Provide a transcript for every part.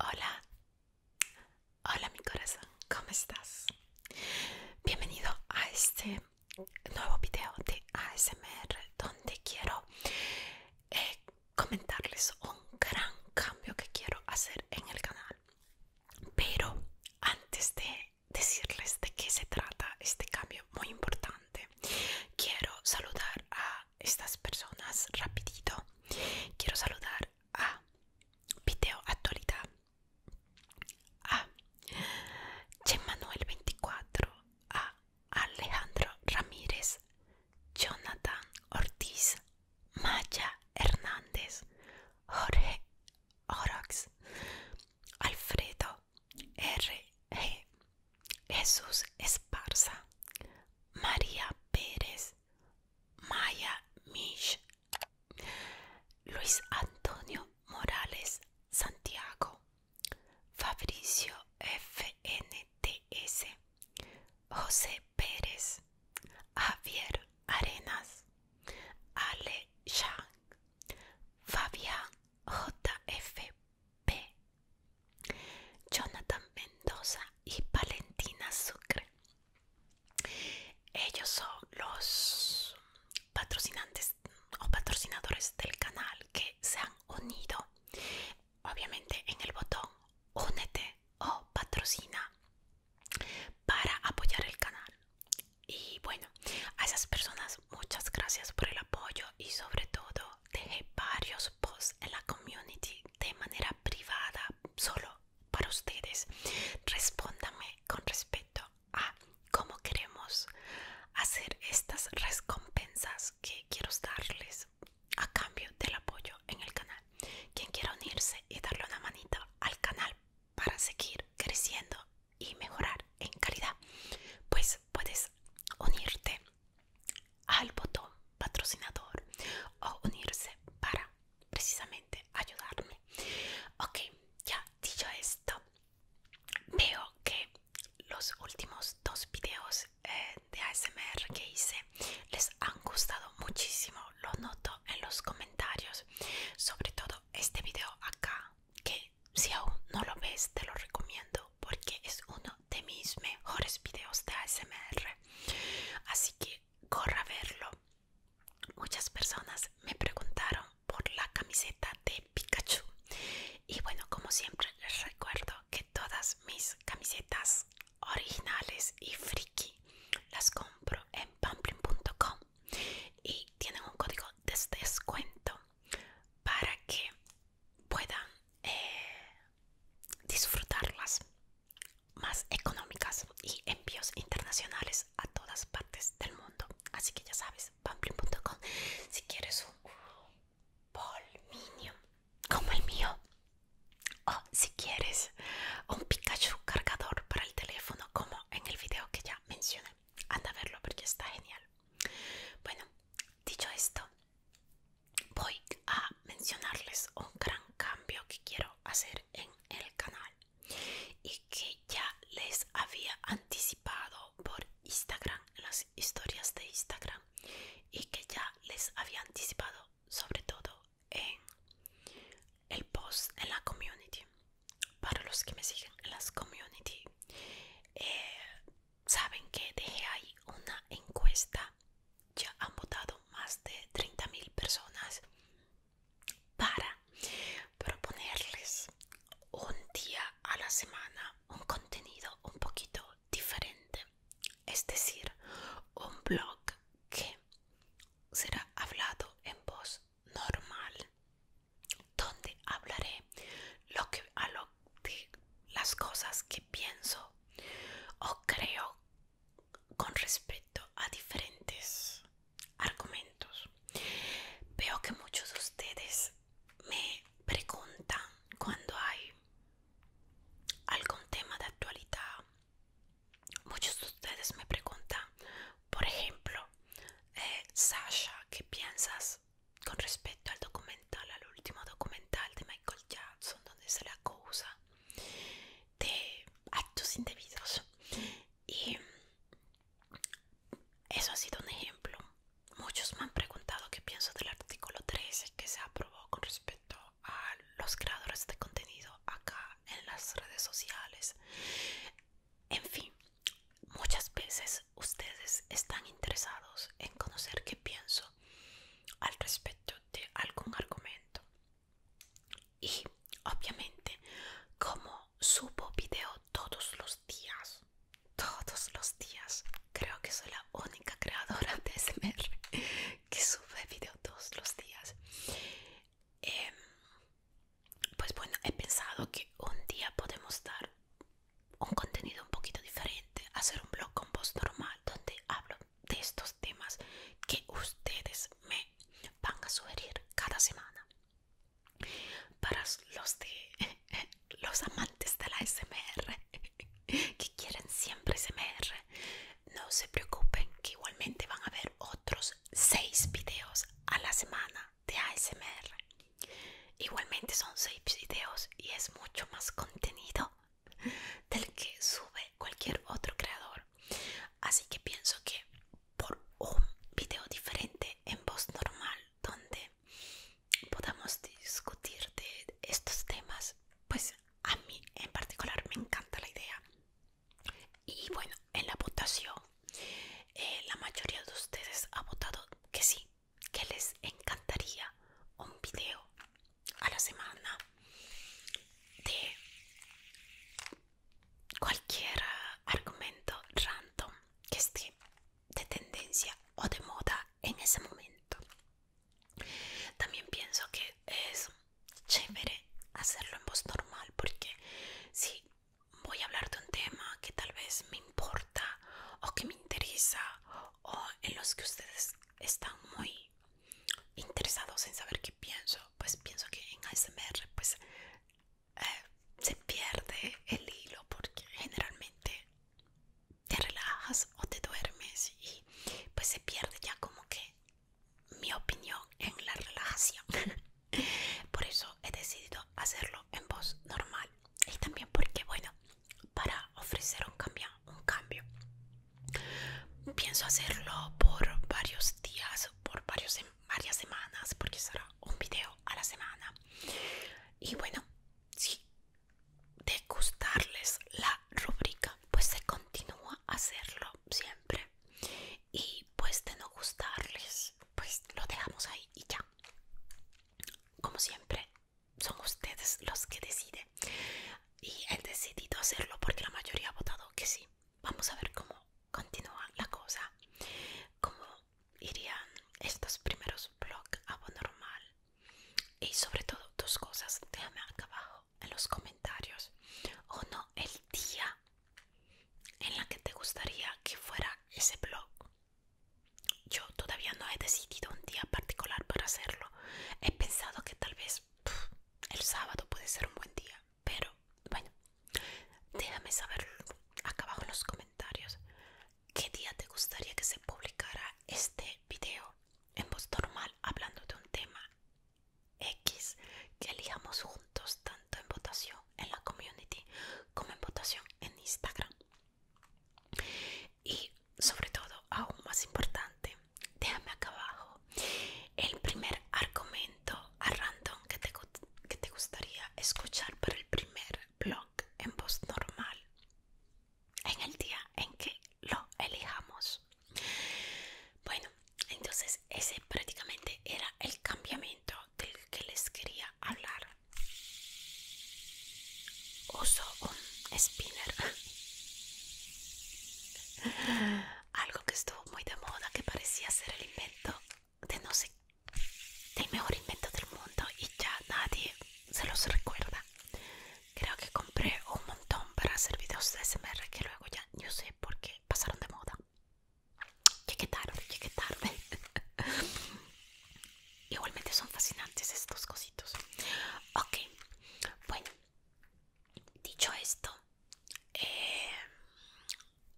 Hola, hola mi corazón, ¿cómo estás? Bienvenido a este nuevo video de ASMR donde quiero eh, comentarles un gran cambio que quiero hacer en el canal. Pero antes de decirles de qué se trata este cambio muy importante, quiero saludar a estas personas rapidito. Quiero saludar a Video Actualidad, a Chemanuel24, a Alejandro Ramírez, Jonathan Ortiz, Maya Hernández, Jorge Orox, Alfredo E. Jesús Esparza, María Pérez, Maya Mish, Luis Antonio Morales Santiago, Fabricio FNTS, José Pérez, Javier Arenas, Ale Shang, Fabián JFP, Jonathan Mendoza y Valentina Sucre. Ellos son los patrocinantes o patrocinadores del canal que se han unido obviamente en el botón únete o patrocina para apoyar el canal. Y bueno, a esas personas muchas gracias por el apoyo y sobre todo dejé varios posts en la community de manera privada solo para ustedes. Respóndame con respecto a cómo queremos hacer estas recompensas que quiero darles a cambio del apoyo en el canal. Quien quiera unirse y darle una manita al canal para seguir creciendo y mejorar en calidad, pues puedes unirte al botón patrocinador o unirse para precisamente ayudarme. Ok, ya dicho esto, veo que los últimos dos videos eh, de ASMR que hice les han gustado muchísimo, lo noto en los comentarios, sobre todo este video acá, que si aún no lo ves te lo recomiendo porque es uno de mis mejores videos de ASMR, así que corra a verlo. Muchas personas me preguntaron por la camiseta de Pikachu y bueno, como siempre les recuerdo que todas mis camisetas originales y friki las compro en pamplin.com y tienen un código de descuento para que puedan eh, disfrutarlas más económicas y envíos internacionales a todas partes del mundo así que ya sabes pamplin.com si quieres un polminio como el mío o si quieres un Pikachu cargador para el teléfono como en el video que ya mencioné anda a verlo porque está genial bueno dicho esto voy a mencionarles un gran cambio que quiero hacer en el canal y que ya les había anticipado por Instagram las historias de Instagram y que ya les había anticipado sobre todo en el post en la community para los que me siguen en las community eh, saben que dejé ahí una encuesta ya han votado más de 30.000 personas para proponerles un día a la semana un contenido un poquito diferente es decir, un blog que será hablado en voz normal, donde hablaré lo que, a lo, de las cosas que pienso o creo con respecto a diferentes argumentos. Veo que muchos de ustedes me preguntan cuando hay algún tema de actualidad. Muchos de ustedes me preguntan, por ejemplo, eh, Sasha, ¿qué piensas con respecto al documental, al último documental de Michael Jackson, donde se le acusa de actos indebidos? Y eso ha sido un ejemplo. Muchos me han preguntado qué pienso del artículo 13 que se ha con respecto a los creadores de contenido acá en las redes sociales. En fin, muchas veces ustedes están interesados en conocer qué pienso al respecto de algún argumento. Y obviamente, como subo video todos los días, todos los días creo que soy la única creadora de SMR que sube videos todos los días. Em, pues bueno, he pensado que un día podemos dar un contenido un poquito diferente, hacer un blog con voz normal donde hablo de estos temas que ustedes me van a sugerir cada semana. Para los de los amantes de la que quieren siempre asmr no se preocupen que igualmente van a ver otros 6 videos a la semana de ASMR. Igualmente son 6 videos y es mucho más contenido del que sube cualquier otro creador. Así que pienso que por un video diferente en voz normal donde podamos discutir de estos temas, pues a mí en particular me encanta la idea. Y bueno, en la votación, eh, la mayoría de ustedes ha votado que sí, que les encantaría un video a la semana de cualquier argumento random que esté de tendencia o de moda en ese momento. También pienso que es chévere hacerlo en voz normal porque si voy a hablar de un tema que tal vez me importa o que me interesa o en los que ustedes están muy interesados en saber qué pienso, pues pienso que en ASMR pues eh, se pierde el hilo porque generalmente te relajas o te duermes y pues se pierde ya como que mi opinión en la relajación por eso he decidido hacerlo en voz normal y también porque bueno para ofrecer un cambio un cambio pienso hacerlo por varios días por varias semanas porque será un video a la semana y bueno sí de gustarles la rúbrica pues se continúa a hacerlo siempre y pues de no gustarles pues lo dejamos ahí y ya como siempre son ustedes los que deciden y he decidido hacerlo porque la mayoría ha votado que sí vamos a ver cómo continúa la cosa como irían estos primeros blogs normal y sobre todo dos cosas déjame acá abajo en los comentarios o no, el día en la que te gustaría que fuera ese blog yo todavía no he decidido un día particular para hacerlo he pensado que tal vez el sábado puede ser un buen día pero bueno déjame saber acá abajo en los comentarios qué día te gustaría que se publicara este video en voz normal hablando de un tema X que elijamos juntos tanto en votación en la community como en votación en Instagram. Y sobre todo, aún más importante, déjame acá abajo el primer argumento a random que te, gustaría escuchar para el primer blog en voz normal en el día en que lo elijamos. Bueno, entonces ese prácticamente era el cambiamiento del que les quería hablar. Uso un spinner. Algo que estuvo muy de moda, que parecía ser el invento de no sé el mejor invento del mundo y ya nadie se los recuerda. Creo que compré un montón para hacer videos de SMR que luego ya no sé por qué pasaron de moda. que tarde, que tarde. Igualmente son fascinantes estos cositos. Ok, bueno, dicho esto, eh,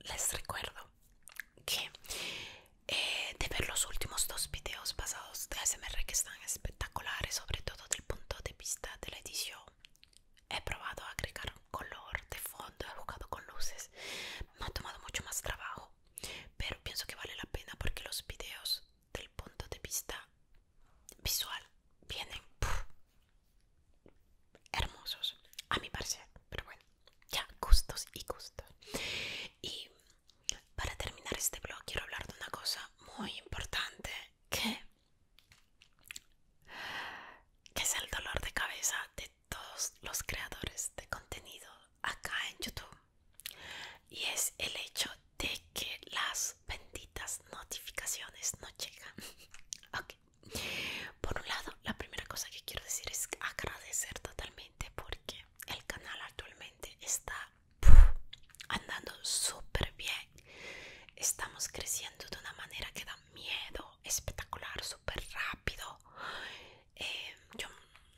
les recuerdo que eh, de ver los últimos dos videos pasados de SMR que están espectaculares, sobre todo del punto de vista de la edición. He probado a agregar color de fondo, he jugado con luces, me ha tomado mucho más trabajo, pero pienso que vale la pena porque los videos del punto de vista visual vienen hermosos, a mi parecer, pero bueno ya gustos y gustos y para terminar este blog quiero hablar de una cosa muy importante que, que es el dolor de cabeza de todos los creadores de contenido acá en YouTube y es el hecho de que las benditas notificaciones no llegan ok por un lado la primera cosa que quiero decir es agradecer totalmente porque el canal actualmente está andando súper bien estamos creciendo de una manera que da miedo espectacular súper rápido eh, yo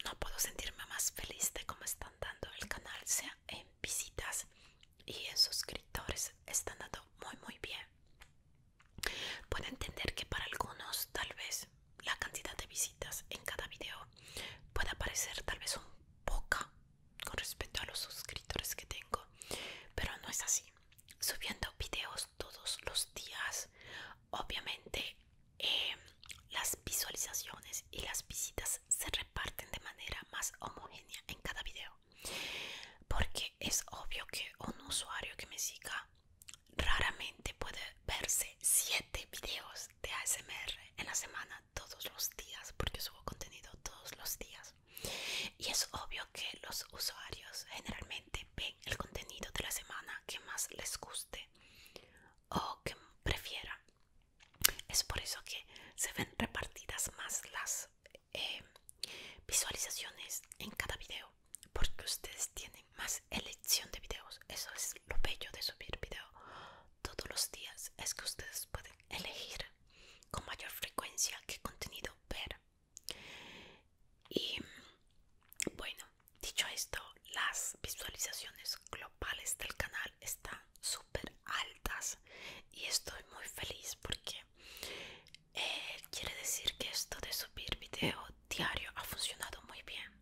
no puedo sentirme más feliz de cómo está andando el canal sea en visitas y en suscriptores está andando muy muy bien Puedo entender que para algunos tal vez la cantidad de visitas en cada video pueda parecer tal vez un poca con respecto a los suscriptores que tengo, pero no es así. Subiendo videos todos los días, obviamente eh, las visualizaciones y las visitas se reparten de manera más homogénea en cada video, porque es obvio que un usuario que me siga Raramente puede verse 7 videos de ASMR en la semana todos los días porque subo contenido todos los días. Y es obvio que los usuarios generalmente ven el contenido de la semana que más les guste o que prefieran. Es por eso que se ven repartidas más las eh, visualizaciones en cada video porque ustedes tienen más elección de videos eso es lo bello de subir video todos los días es que ustedes pueden elegir con mayor frecuencia qué contenido ver y bueno dicho esto las visualizaciones globales del canal están súper altas y estoy muy feliz porque eh, quiere decir que esto de subir video diario ha funcionado muy bien,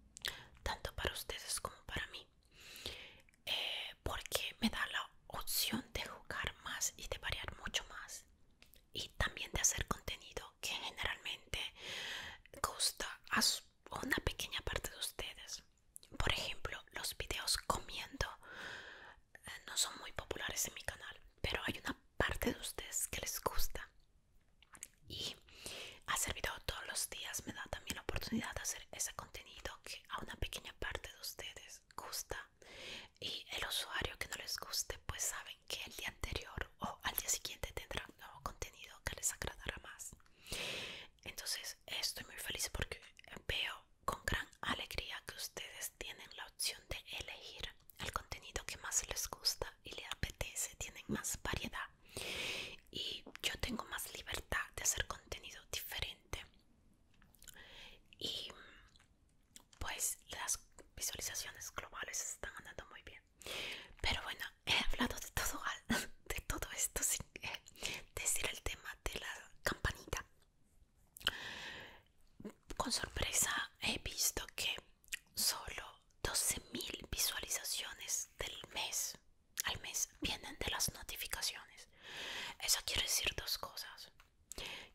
tanto para ustedes como para mí, eh, porque me da la opción de jugar más y de variar mucho más, y también de hacer contenido que generalmente gusta a una pequeña parte de ustedes. Por ejemplo, los videos comiendo eh, no son muy populares en mi canal, pero hay una parte de ustedes que les gusta y ha servido todos los días me da también la oportunidad de hacer ese contenido que a una pequeña parte de ustedes gusta y el usuario que no les guste pues saben que el día anterior o al día siguiente un nuevo contenido que les agradará más entonces estoy muy feliz porque veo con gran alegría que ustedes tienen la opción de elegir el contenido que más les gusta y le apetece, tienen más variedad y yo tengo más libertad de hacer contenido diferente y pues las visualizaciones globales están andando muy bien pero bueno he hablado de todo de todo esto sin eh, decir el tema de la campanita con sorpresa he visto que solo 12.000 visualizaciones del mes al mes vienen de las notificaciones. Eso quiere decir dos cosas.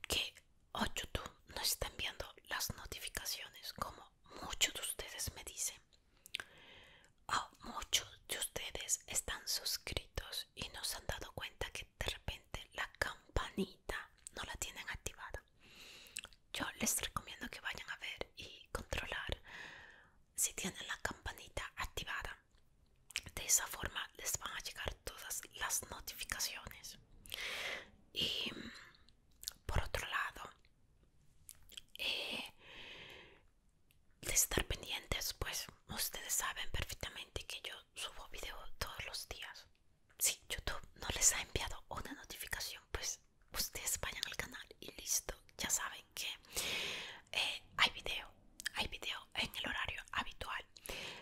Que o oh, YouTube no está enviando las notificaciones como muchos de ustedes me dicen. O oh, muchos de ustedes están suscritos y no se han dado cuenta que de repente la campanita no la tienen activada. Yo les recomiendo que vayan a ver y controlar si tienen la campanita activada. De esa forma les van a llegar todas las notificaciones. Y mm, por otro lado, eh, de estar pendientes, pues ustedes saben perfectamente que yo subo video todos los días si YouTube no les ha enviado una notificación, pues ustedes vayan al canal y listo. Ya saben que eh, hay video, hay video en el horario habitual.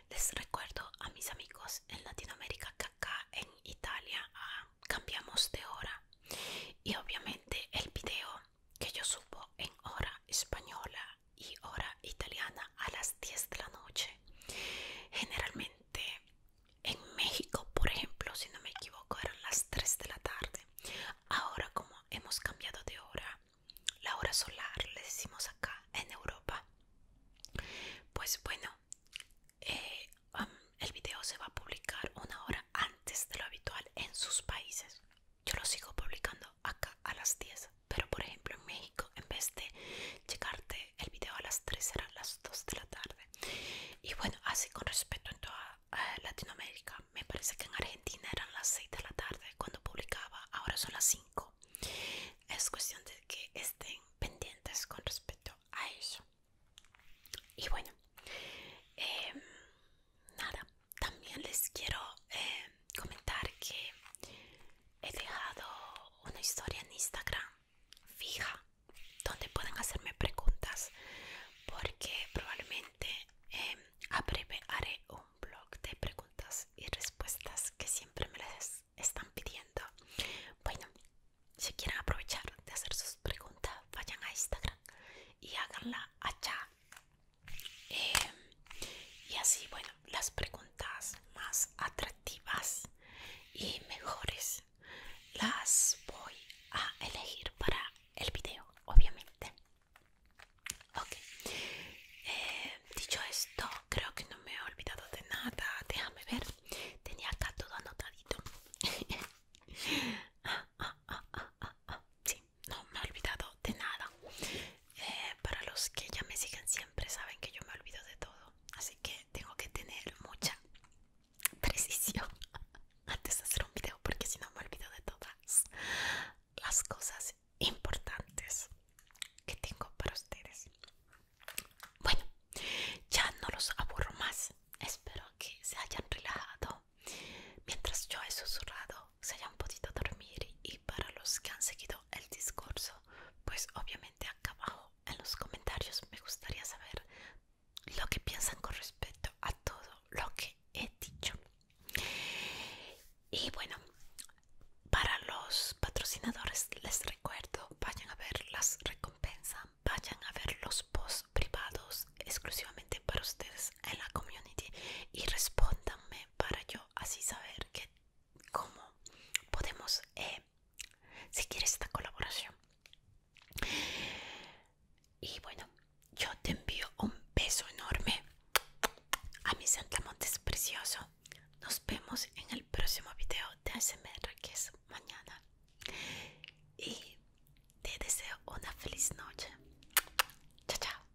Les recuerdo a mis amigos en Latinoamérica que acá en Italia ah, cambiamos de hora y obviamente el video que yo subo en hora española y hora italiana a las 10 de la noche generalmente en México, por ejemplo, si no me equivoco, eran las 3 de la tarde. Ahora como hemos cambiado de hora, la hora solar, le decimos acá en Europa. Pues bueno, eh, el video se va a publicar una hora antes de lo habitual en sus países. Yo lo sigo publicando acá a las 10 pero por ejemplo en México en vez de llegarte el video a las 3 eran las 2 de la tarde y bueno así con respecto en toda eh, Latinoamérica me parece que en Argentina eran las 6 de la tarde cuando publicaba ahora son las 5 es cuestión de que estén pendientes con respecto a eso y bueno em, nada también les quiero eh, comentar que he dejado una historia en Instagram fija donde pueden hacerme preguntas porque probablemente em, a breve haré un blog de preguntas y respuestas que siempre me las están pidiendo. Bueno, si quieren aprovechar de hacer sus preguntas, vayan a Instagram y háganla allá. Em, y así, bueno, las preguntas más atractivas y mejores las voy a elegir para el video obviamente ok eh, dicho esto creo que no me he olvidado de nada déjame ver tenía acá todo anotadito ah, ah, ah, sí no me he olvidado de nada eh, para los que ya me siguen siempre saben que yo me olvido de todo, así que tengo que tener mucha precisión antes de hacer un video porque si no me olvido de todas las cosas importantes que tengo para ustedes. Bueno, ya no los aburro más. Espero que se hayan relajado mientras yo he susurrado, se hayan podido dormir y para los que han seguido el discurso pues obviamente acá abajo en los comentarios me gustaría saber lo que piensan con respecto a todo lo que he dicho. Y bueno, para los patrocinadores les recuerdo, vayan a ver las recompensas, vayan a ver los posts privados exclusivamente para ustedes en la community y respóndanme para yo así saber que cómo podemos eh, seguir esta colaboración. Y bueno, yo te envío un beso enorme a mi Santamontes precioso. Nos vemos en el próximo video de ASMR que es mañana. Y te deseo una feliz noche. Chao, chao.